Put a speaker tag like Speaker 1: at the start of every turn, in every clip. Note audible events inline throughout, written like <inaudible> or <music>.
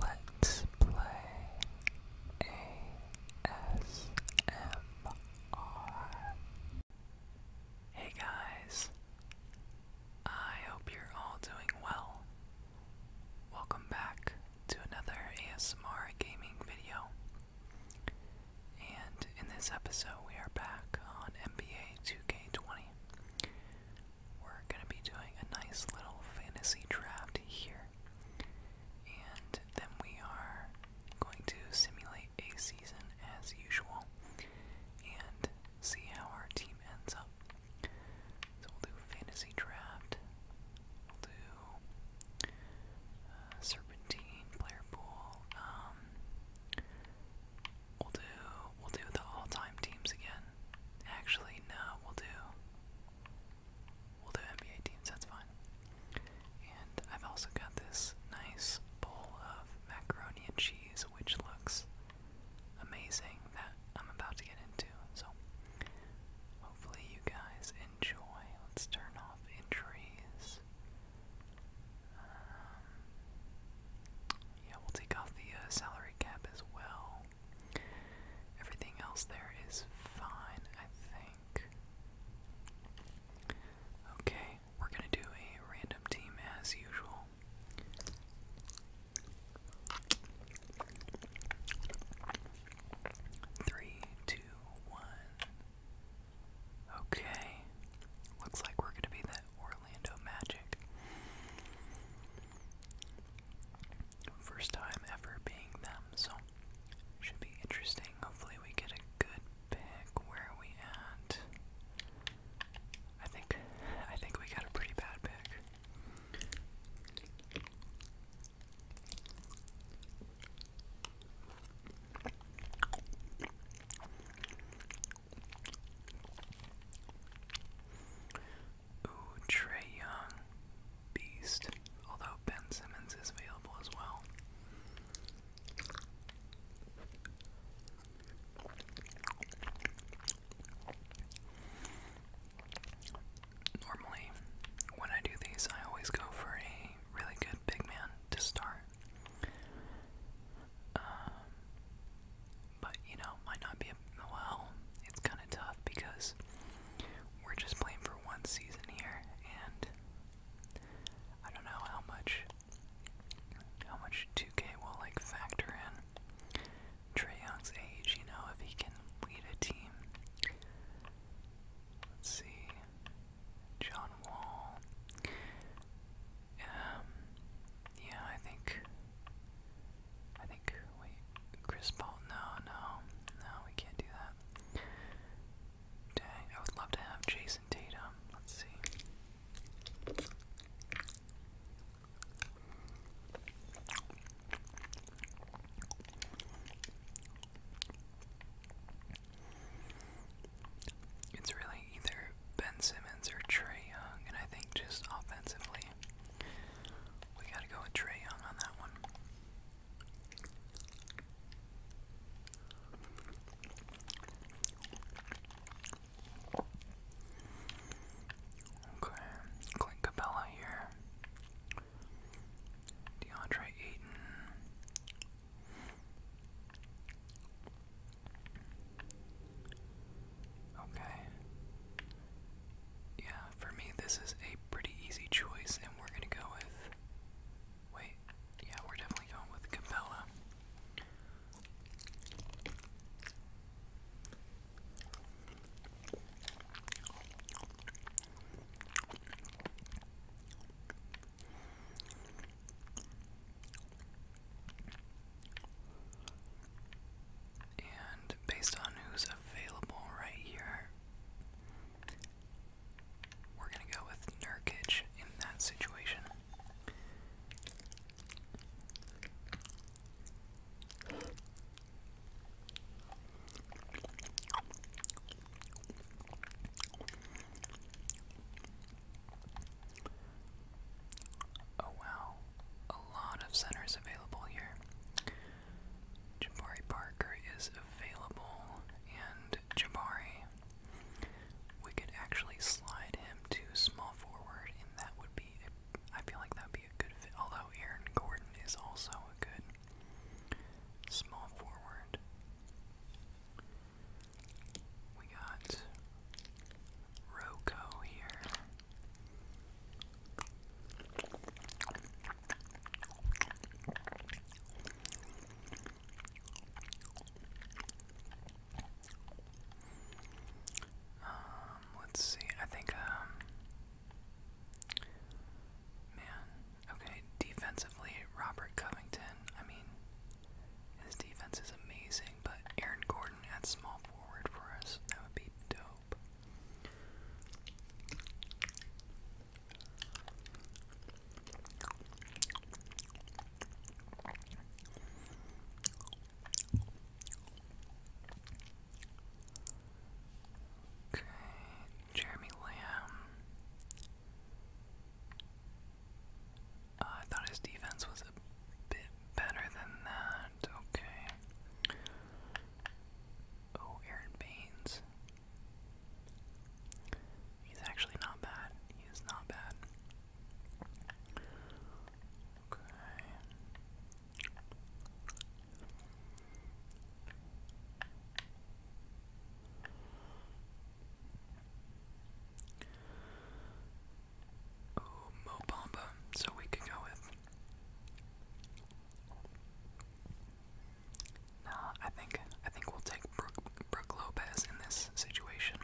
Speaker 1: Let's play ASMR. Hey guys, I hope you're all doing well. Welcome back to another ASMR gaming video. And in this episode, we are back on NBA 2K20 we're going to be doing a nice little fantasy draft here. And then we are going to simulate a season as usual and see how our team ends up. So we'll do fantasy draft, we'll do uh, serpentine, player pool, um, we'll do, we'll do the all-time teams again. Actually, no, we'll do we'll do NBA teams, that's fine. And I've also got this nice bowl of macaroni and cheese, which looks amazing that I'm about to get into. So hopefully you guys enjoy. Let's turn off entries. Um, yeah, we'll take off the uh, salary cap as well. Everything else there is fine, I think. Okay, we're gonna do a random team as usual. Three, two, one. Okay, looks like we're gonna be the Orlando Magic. First time ever being them, so should be interesting. Hopefully, we get a good pick. Where we at? I think I think we got a pretty bad pick. Ooh, Trey Young, beast. Although Ben Simmons is available as well. Normally, when I do these, I always go for a really good big man to start. Um, but you know, might not be well, it's kind of tough because we're just playing for one season here, and I don't know how much how much 2K will like factor in Trey Young's age. You know, if he can lead a team. Let's see, John Wall. Um, yeah, I think I think, wait, Chris Paul, no, no, no, we can't do that. Dang, I would love to have Jason Tatum. Let's see. It's really either Ben Simmons or Trey Young, and I think just offensively we gotta go with Trey Young on that one. Okay, Clint Capella here. DeAndre Ayton. Okay. Yeah, for me, this is a pretty easy choice, and we're going to go with. Wait, yeah, we're definitely going with Capella and based on who's available right here, we're gonna go with Nurkic in that situation. Oh wow, a lot of centers available here. Jabari Parker is available, and Jabari, we could actually slide him to small forward, and that would be, a, I feel like that would be a good fit, although Aaron Gordon is also a good small forward. We got Roko here. Um, let's see. I think um man, okay, defensively Robert Covington. I mean, his defense is amazing, but Aaron Gordon at small forward for us, that would be dope hope. Okay, Jeremy Lamb. Uh, I thought his defense was a bit better than that. Okay. Oh, Aaron Baines. He's actually not bad. He not bad. Okay. Oh, Mo Bamba. So we could go with Nah, I think I think we'll take Brooke, Brooke Lopez in this situation.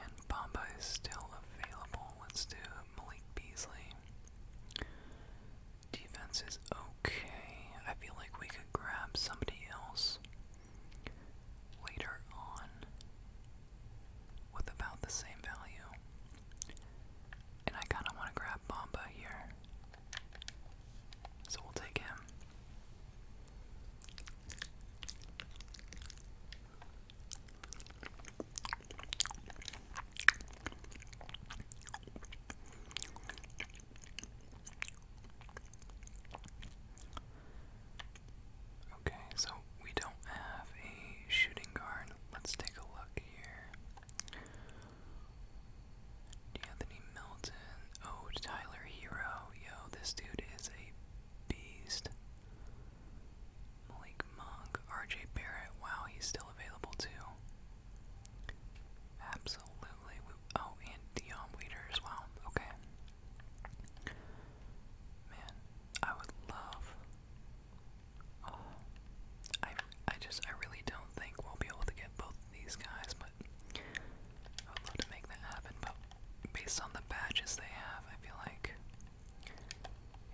Speaker 1: And Bamba is still available. Let's do Malik Beasley. Defense is okay. I feel like we could grab somebody else later on with about the same value. And I kind of want to grab Bomba here. So we'll take him. Okay, so we don't have a shooting guard. Let's take a look here. D'Anthony Milton. Oh, Tyler Hero. Yo, this dude is a beast. Malik Monk. RJ Barrett. Wow, he's still available too. Absolutely. Oh, and Dion um, Waiter as well. Okay. Man, I would love. Oh, I, I just, I really don't think we'll be able to get both these guys, but I would love to make that happen. But based on the badges they have, I feel like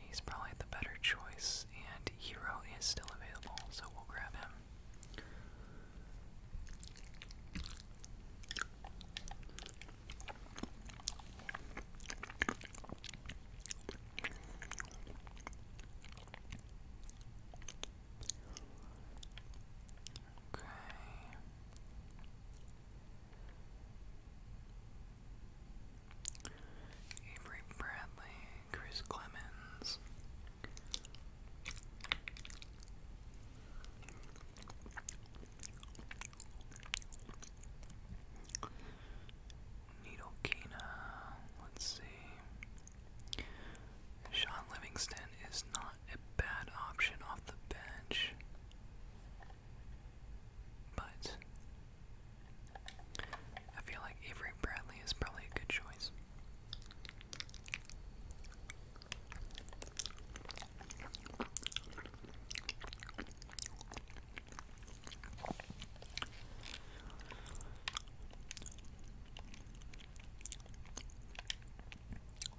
Speaker 1: he's probably the better choice, and Hero is still available, so we'll grab him. Okay. Bradley. Chris Clemens. Needle let's see. Sean Livingston is not a bad option off the bench. But I feel like Avery Bradley is probably a good choice.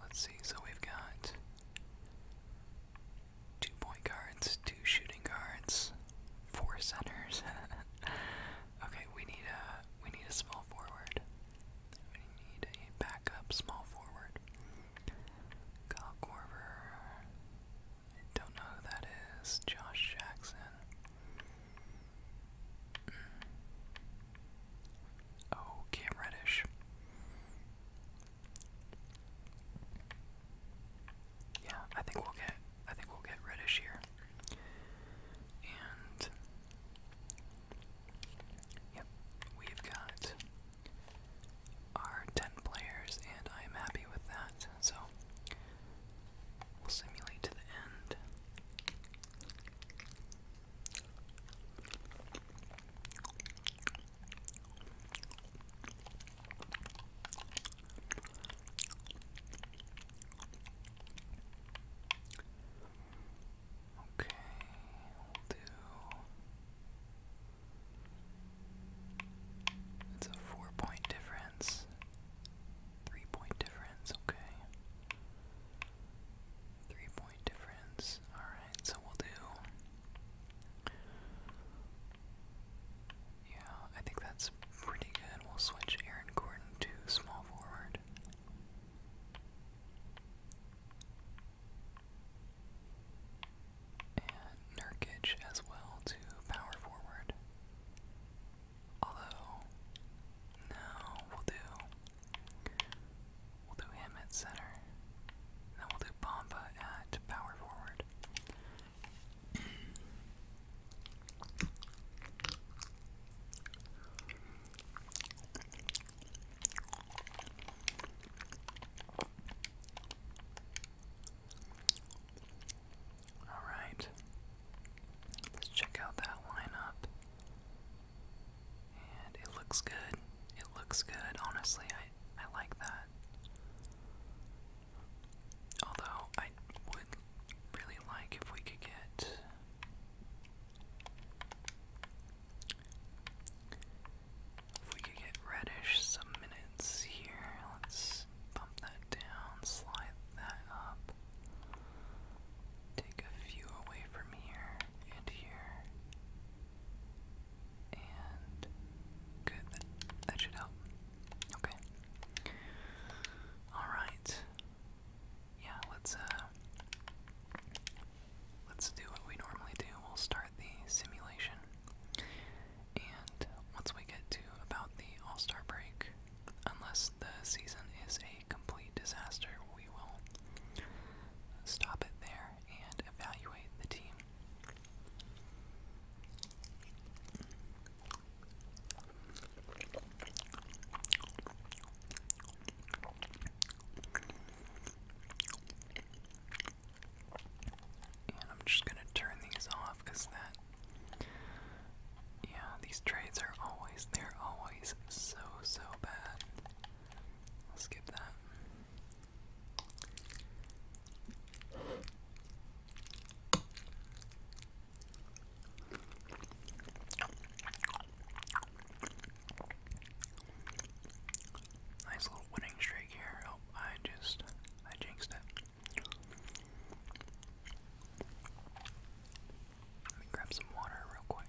Speaker 1: Let's see, so we've got two point guards, two shooting guards, four centers. <laughs> Okay, we need a we need a small forward. We need a backup small forward. Kyle Corver. don't know who that is. Josh Jackson. Mm. Oh, Cam Reddish. Yeah, I think we'll get I think we'll get Reddish here. And yep, we've got our 10 players, and I'm happy with that. So we'll simulate to the end. Okay, we'll do. It's a four point difference, three point difference, okay. Three point difference, alright, so we'll do. Yeah, I think that's pretty good. We'll switch Aaron Gordon to small forward. And Nurkic as well to power forward. Although, no, we'll do, we'll do him at center. Then we'll do Bomba at power forward. All right. Let's check out that lineup. And it looks good. It looks good. Honestly, I I like that. Although I would really like if we could get if we could get reddish some minutes here, let's bump that down, slide that up, take a few away from here and here, and good, that, should help. Okay. Alright, yeah, let's uh, let's do what we normally do. We'll start the simulation, and once we get to about the All Star break, unless the season is a complete disaster, we will stop it there and evaluate the team. I'm just gonna turn these off because that, yeah, these trades are always, they're always so, so bad. skip that. Nice little winning streak here. Oh, I just I jinxed it. Let me grab some water real quick.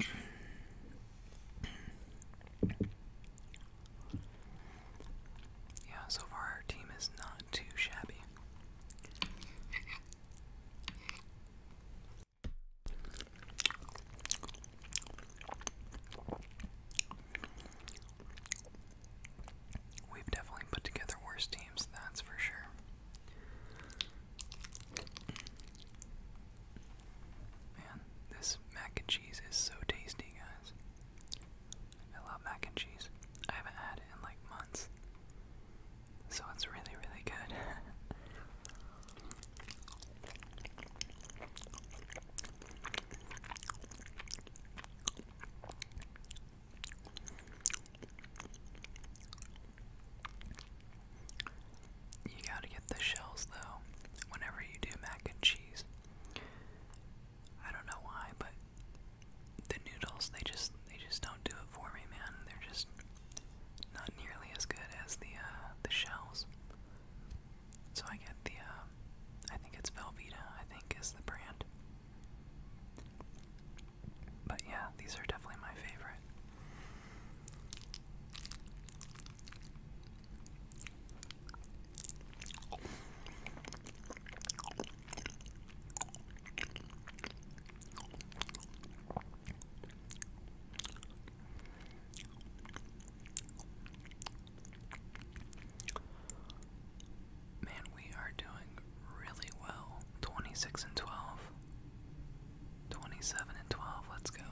Speaker 1: Yeah, so far our team is not too shabby. We've definitely put together worse teams, that's for sure. Man, this mac and cheese is so tasty, guys. I love mac and cheese. I haven't had it in like months. So it's really, really good. <laughs> You gotta get the shells though, whenever you do mac and cheese. I don't know why, but the noodles they just they just don't do it for me, man. They're just not nearly as good as the uh, the shells. So I get the uh, I think it's Velveeta. I think is the brand. But yeah, these are definitely my favorite. Man, we are doing really well. 26 and 12. 27 and 12, let's go.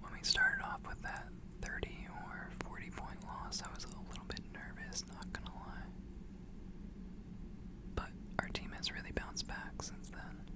Speaker 1: When we started off with that 30 or 40 point loss, I was a little bit nervous, not gonna lie. But our team has really bounced back since then.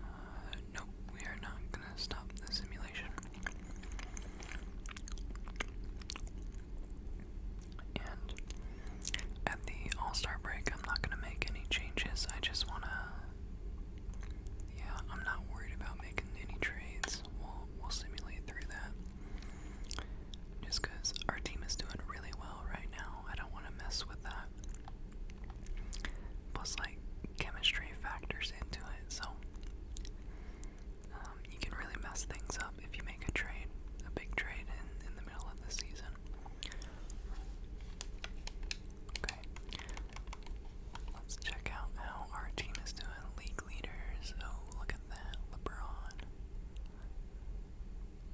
Speaker 1: Uh, nope, we are not gonna stop the simulation. And at the All Star break, I'm not gonna make any changes. I just wanna. Yeah, I'm not worried about making any trades. We'll, we'll simulate through that. Just because our team is doing really well right now, I don't want to mess with that. Plus, like, chemistry factors into it, so um, you can really mess things up if you make a trade, a big trade in, in the middle of the season. Okay, let's check out how our team is doing. League leaders, oh, look at that, LeBron.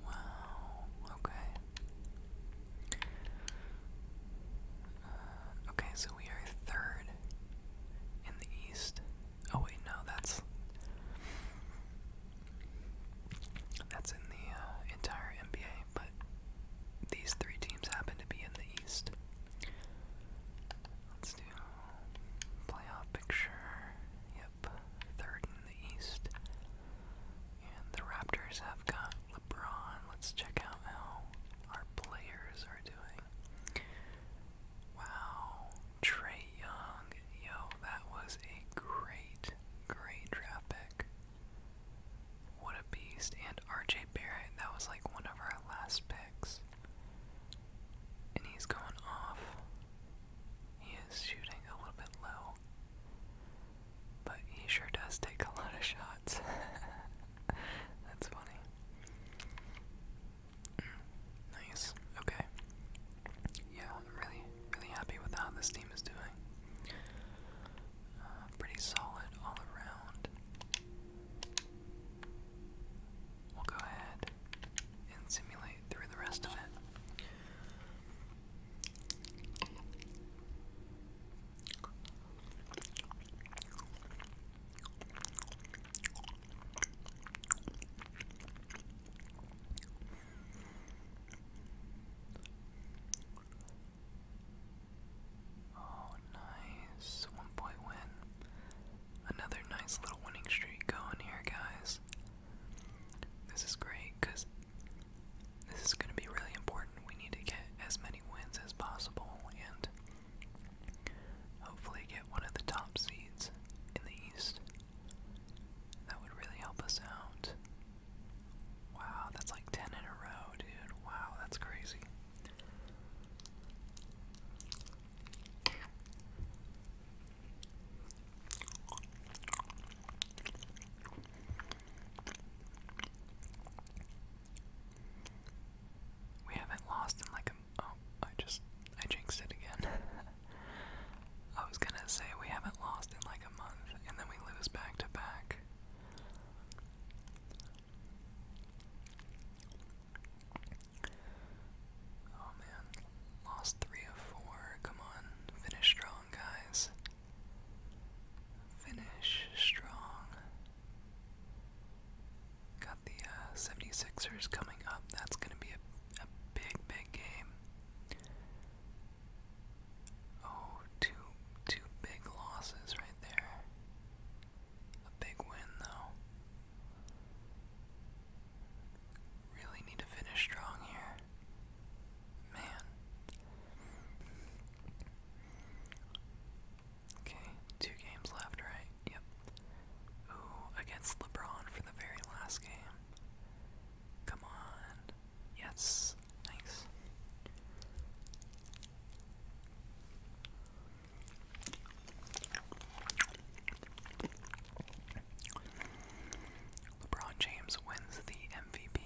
Speaker 1: Wow, okay. Uh, okay, so we are third in the East. Oh, wait, no, that's. That's in the uh, entire NBA, but these three teams happen to be in the East. Let's do playoff picture. Yep third in the East. And the Raptors have got LeBron. Let's check out how our players are doing. Wow, Trey Young. Yo, that was a great, great draft pick. What a beast. And RJ Barrett, that was like one of our last picks. And he's going off. He is shooting a little bit low, but he sure does take a lot of shots. <laughs> That's funny. Mm, nice. Okay. Yeah, I'm really, really happy with how this team is doing. Uh, pretty solid all around. We'll go ahead and simulate through the rest of it. Oh, nice. One point win. Another nice little winning streak going here, guys. This is great because this is going to be really important. We need to get as many wins as possible and hopefully get one of the top seeds in the East. That would really help us out. Wow, that's like 10 in a row, dude. Wow, that's crazy. We haven't lost in like a. Oh, I just. I jinxed it again. <laughs> I was gonna say we haven't lost in like a month, and then we lose back to back. Oh man. Lost three of four. Come on. Finish strong, guys. Finish strong. Got the uh, 76 coming up. That's going to be a, a big, big game. Oh, two, two big losses right there. A big win, though. Really need to finish strong here. Man. Okay, two games left, right? Yep. Ooh, against LeBron for the very last game. Come on. Yes. Nice. LeBron James wins the MVP.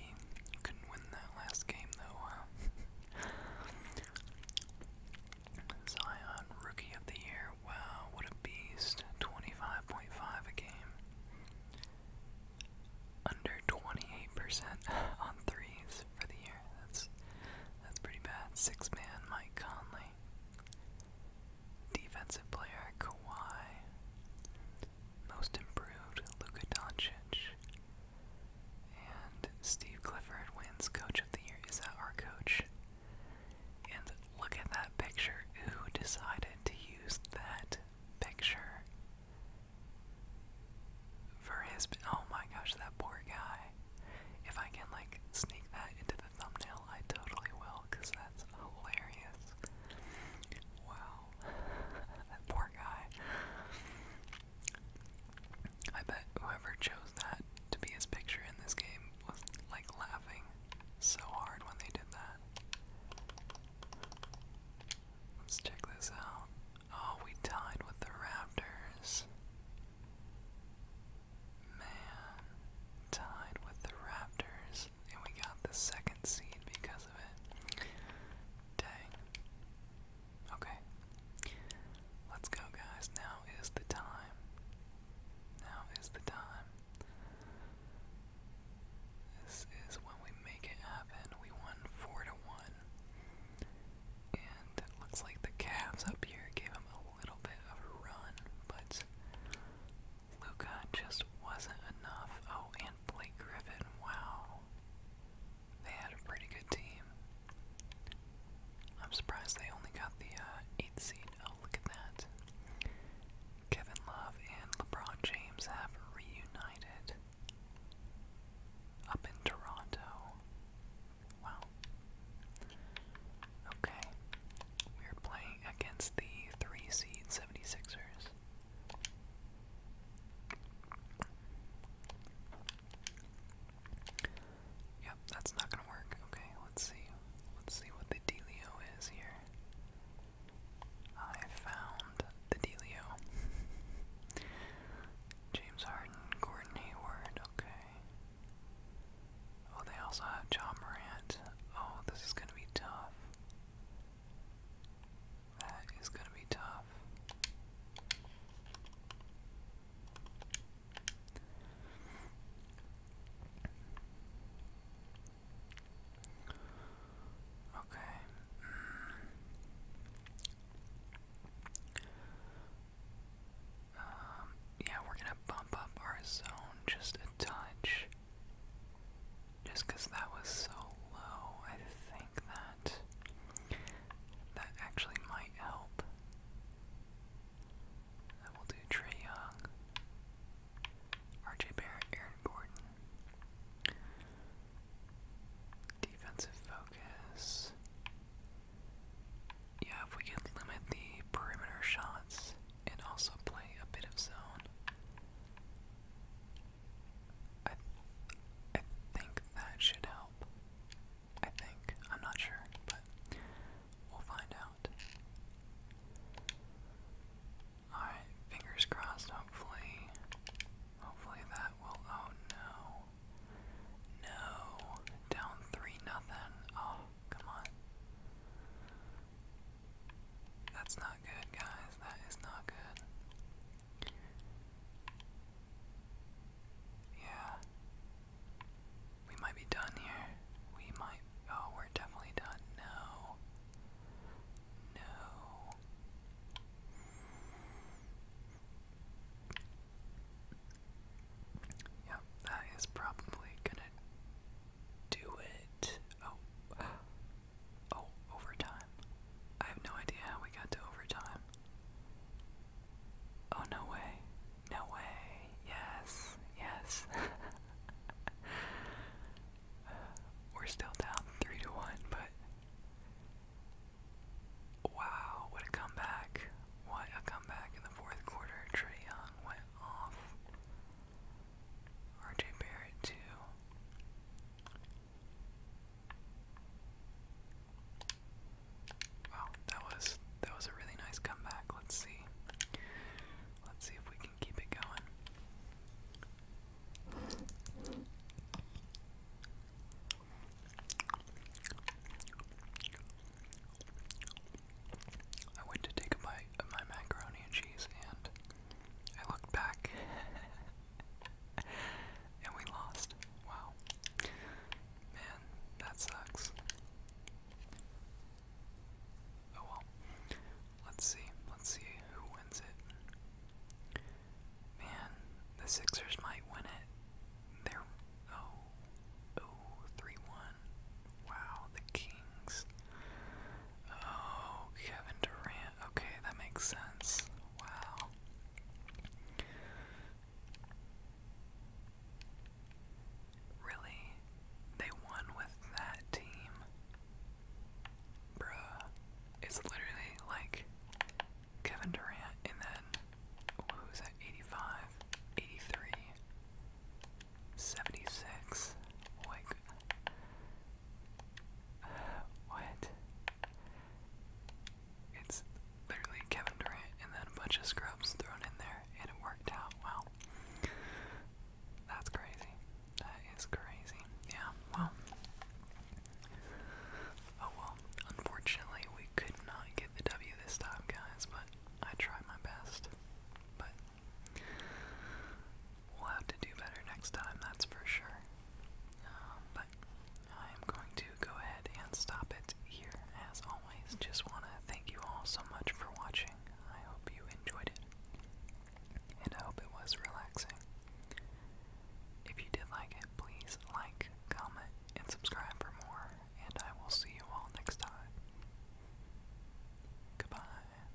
Speaker 1: Couldn't win that last game though. <laughs> Zion, Rookie of the Year. Wow, what a beast. 25.5 a game. Under 28% <laughs> on threes for the year. That's that's pretty bad. Six man Mike Conley. Defensive player Kawhi. Most improved Luka Doncic. And Steve Clifford wins Coach of the Year. Is that our coach? And look at that picture. Who decided to use that picture for his. Oh my gosh, that poor guy. If I can, like, sneak that into the thumbnail, I totally will, because that's hilarious. Wow. <laughs> that poor guy. I bet whoever chose that to be his picture in this game was like laughing so hard when they did that. Let's check this out. Oh, we tied with the Raptors. Man, tied with the Raptors and we got the second seed because of it. Dang. Okay. Let's go, guys. Now is the time. Now is the time. This is when we make it happen. We won 4 to 1. And it looks like the Cavs up here gave him a little bit of a run, but Luca just wasn't enough. Oh, and Blake Griffin, wow. They had a pretty good team. I'm surprised they only got the uh, eighth seed. Oh, look at that. Kevin Love and LeBron James have reunited up in Toronto. Wow. Okay. We're playing against the three seed 76ers. Yep, that's not gonna work. Okay, let's see. Let's see what the dealio is here. I found the dealio. <laughs> James Harden, Gordon Hayward, okay. Oh, they also have John Morant. Oh, this is gonna be tough. That is going to be tough. Okay. Mm. Um, yeah, we're going to bump up our zone just touch. Just because that was so low, I think that that actually might help. I will do Trey Young, RJ Barrett, Aaron Gordon. Defensive focus. Yeah, if we could limit the perimeter shots and also play a bit of zone, I, I think that should help. I think. I'm not sure, but we'll find out. Alright, fingers crossed, hopefully. Hopefully that will. Oh no. No. Down 3 nothing. Oh, come on. That's not good, guys. That is not good. Yeah. We might be done here. We might. Oh, we're definitely done. No. No. Yep, that is probably gonna do it. Oh, Oh, overtime. I have no idea how we got to overtime. Oh, no way. No way. Yes. Yes. <laughs> We're still down 3 to 1, but. Wow, what a comeback. What a comeback in the fourth quarter. Trey went off. RJ Barrett too. Wow, that was that was a really nice comeback. Let's see. Let's see if we can keep it going. I went to take a bite of my macaroni and cheese and I looked back <laughs> and we lost. Wow. Man, that sucks. Oh well. Let's see. Let's see who wins it. Man, the Sixers might win it. They're oh, oh Wow, the Kings. Oh, Kevin Durant. Okay, that makes sense. Wow. Really? They won with that team? Bruh. It's literally like Kevin Durant and then, what was that, 85, 83, what? It's literally Kevin Durant and then a bunch of scrubs thrown in there, and it worked out. Wow. That's crazy. That is crazy. Yeah, well. Oh well. Unfortunately, we could not get the W this time, guys, but I tried my best. But We'll have to do better next time, that's for sure. Um, but I am going to go ahead and stop it here. As always, just want to thank you all so much for watching. I hope you enjoyed it, and I hope it was relaxing. If you did like it, please like, comment, and subscribe for more, and I will see you all next time. Goodbye.